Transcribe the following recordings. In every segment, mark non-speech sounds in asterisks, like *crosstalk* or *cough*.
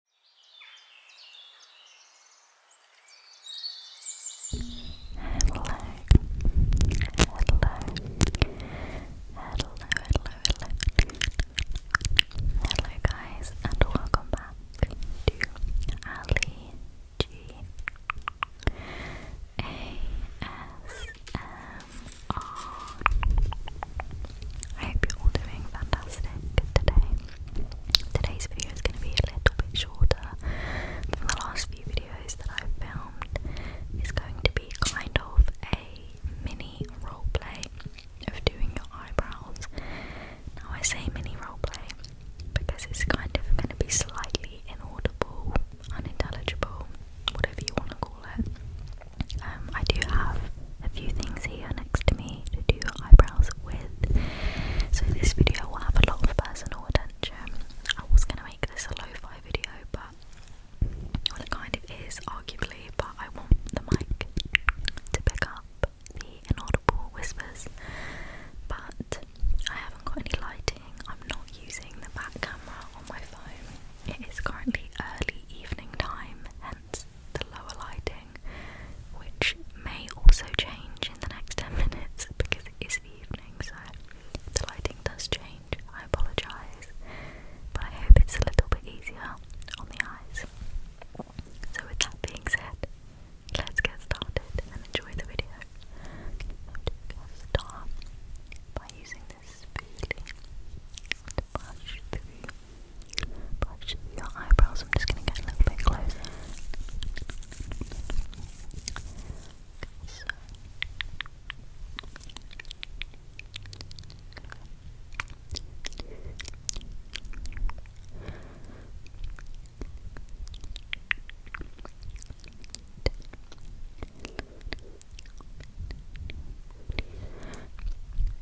Hello. Hello. Hello, hello, hello. Hello guys and welcome back to Ali G A S M R. I hope you're all doing fantastic today. Today's video is going to be a little bit shorter than the last few videos that i filmed. It's going to be kind of a mini roleplay of doing your eyebrows. Now, I say mini roleplay because it's kind of going to be slightly inaudible, unintelligible, whatever you want to call it. Um, I do have a few things here next to me to do eyebrows with. So this video will have a lot of personal attention. I was gonna make this a lo-fi video, but well, kind of arguably, but I want the mic to pick up the inaudible whispers. But I haven't got any lighting. I'm not using the back camera on my phone. It is currently early evening time, the lower lighting, which may also change in the next *laughs* 10 minutes because it is evening, so the lighting does change. I apologise, but I hope it's a little bit easier on the eyes. So, with that being said, let's get started and enjoy the video. I'm going to start by using this spoolie to brush through. Brush your eyebrows. I'm just going to get a little bit closer.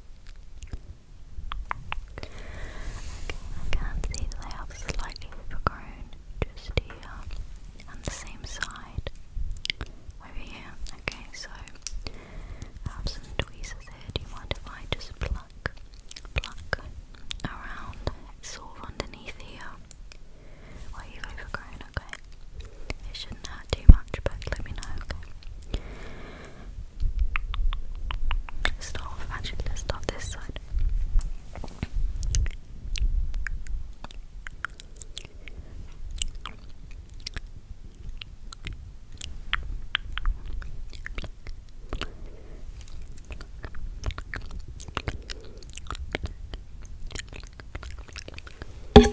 I can see that they are slightly overgrown just here on the same side over here. Okay, so have some tweezers here. Do you mind if I just pluck, pluck around sort of underneath here? Well, you've overgrown, okay. It shouldn't hurt too much, but let me know, okay? actually, let's start this side. Good.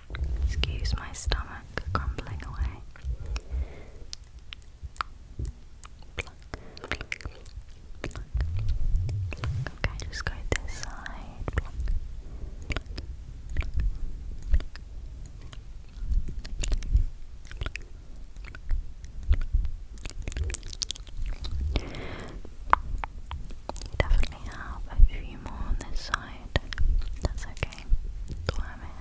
Excuse my stomach crumbling away. Okay, just go this side. definitely have a few more on this side. That's okay.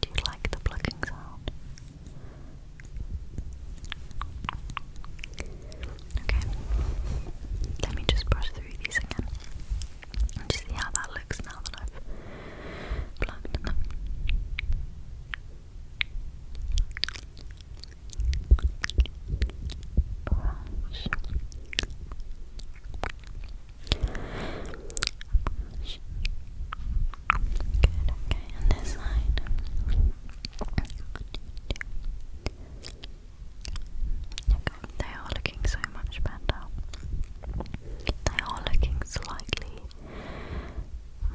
Do you like the plucking sound? Okay, let me just brush through these again just see how that looks now that I've plucked them. Brush. Good, they are looking so much better. They are looking slightly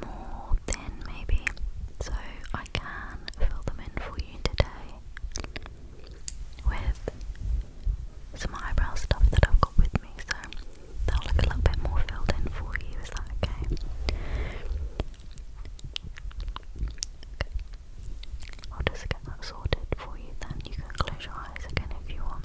more thin, maybe, so I can fill them in for you today with some eyebrow stuff that I've got with me, so that'll look a little bit more filled in for you. Is that okay? I'll just get that sorted for you then. You can close your eyes again if you want.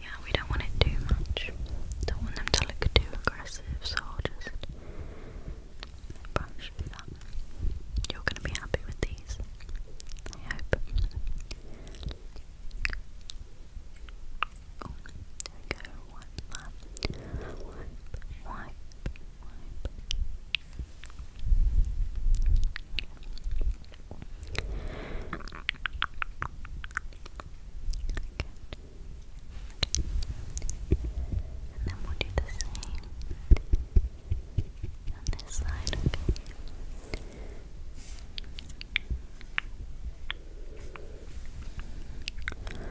Yeah, we don't want it too much. Don't want them to look too aggressive, so just brush You're gonna be happy with these. I hope. Oh, and then we do the same on this side, Okay.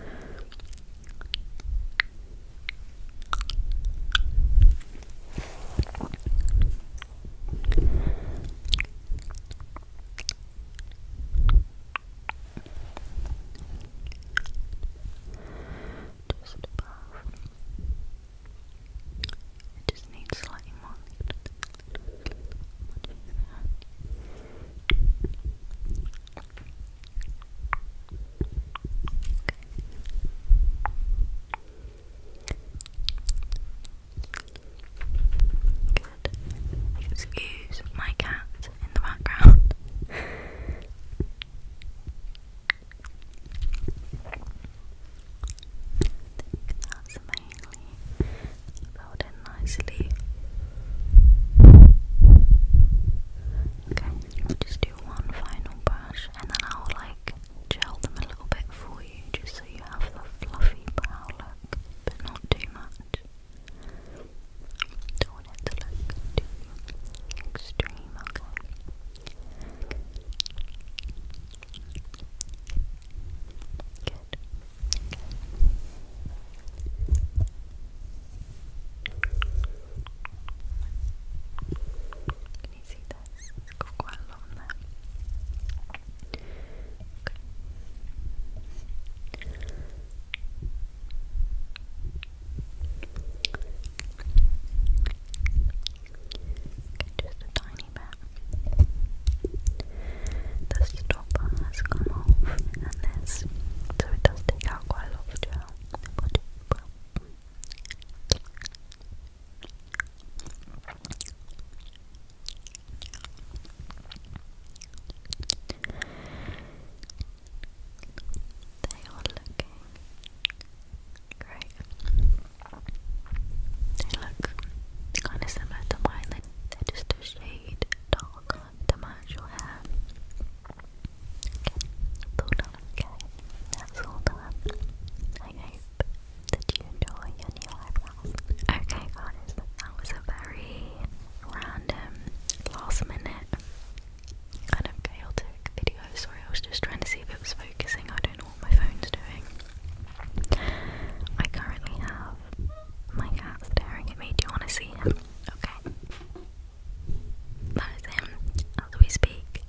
Just above. It just needs slightly more. What is that? Good. Excuse my cat in the background. *laughs* that's mainly about nicely. Okay just do one final brush and then I'll like gel them a little bit for you just so you have the fluffy brow look but not too much. Don't want to look extreme, okay? Good. Can you see this? quite a lot on there. Okay. just a tiny bit. The stopper has come off and this, so it does take out quite a lot of gel. They are looking great. They look kind of similar to mine. They're just a shade darker than my actual hair okay, that's all done. I hope that you enjoy your new eyebrows. Okay guys, that was a very random, last minute, kind of chaotic video. Sorry, I was just trying to see if it was focusing. I don't know what my phone's doing. I currently have my cat staring at me. Do you want to see him? Okay. That is him as we speak,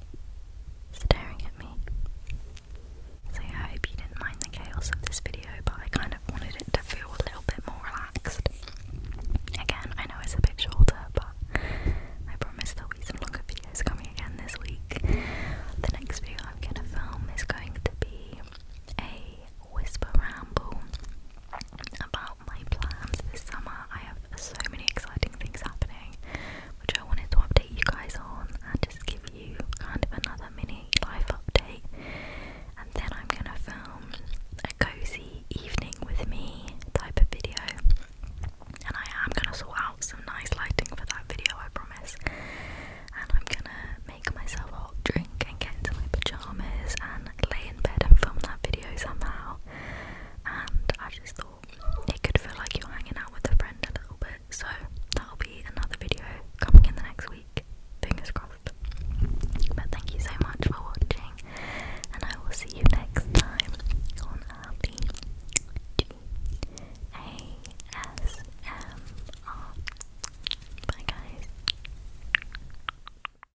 staring at me. So I hope you didn't mind the chaos of this video, but I kind of wanted it to feel a little bit more relaxed. Again, I know it's a bit shorter, but I promise there'll be some longer videos coming again this week. The next video I'm gonna film is going to be a whisper ramble about my plans this summer. I have so many exciting things happening, which I wanted to update you guys on and just give you kind of another mini life update. And then I'm gonna film a cozy evening with me type of video. And I am gonna sort out some nice lighting for that video, I promise. And I'm gonna make myself a hot drink and get into my pajamas and lay in bed and film that video somehow and I just thought it could feel like you're hanging out with a friend a little bit. So that'll be another video coming in the next week. Fingers crossed. But thank you so much for watching, and I will see you next time on early G A S M R. Bye, guys.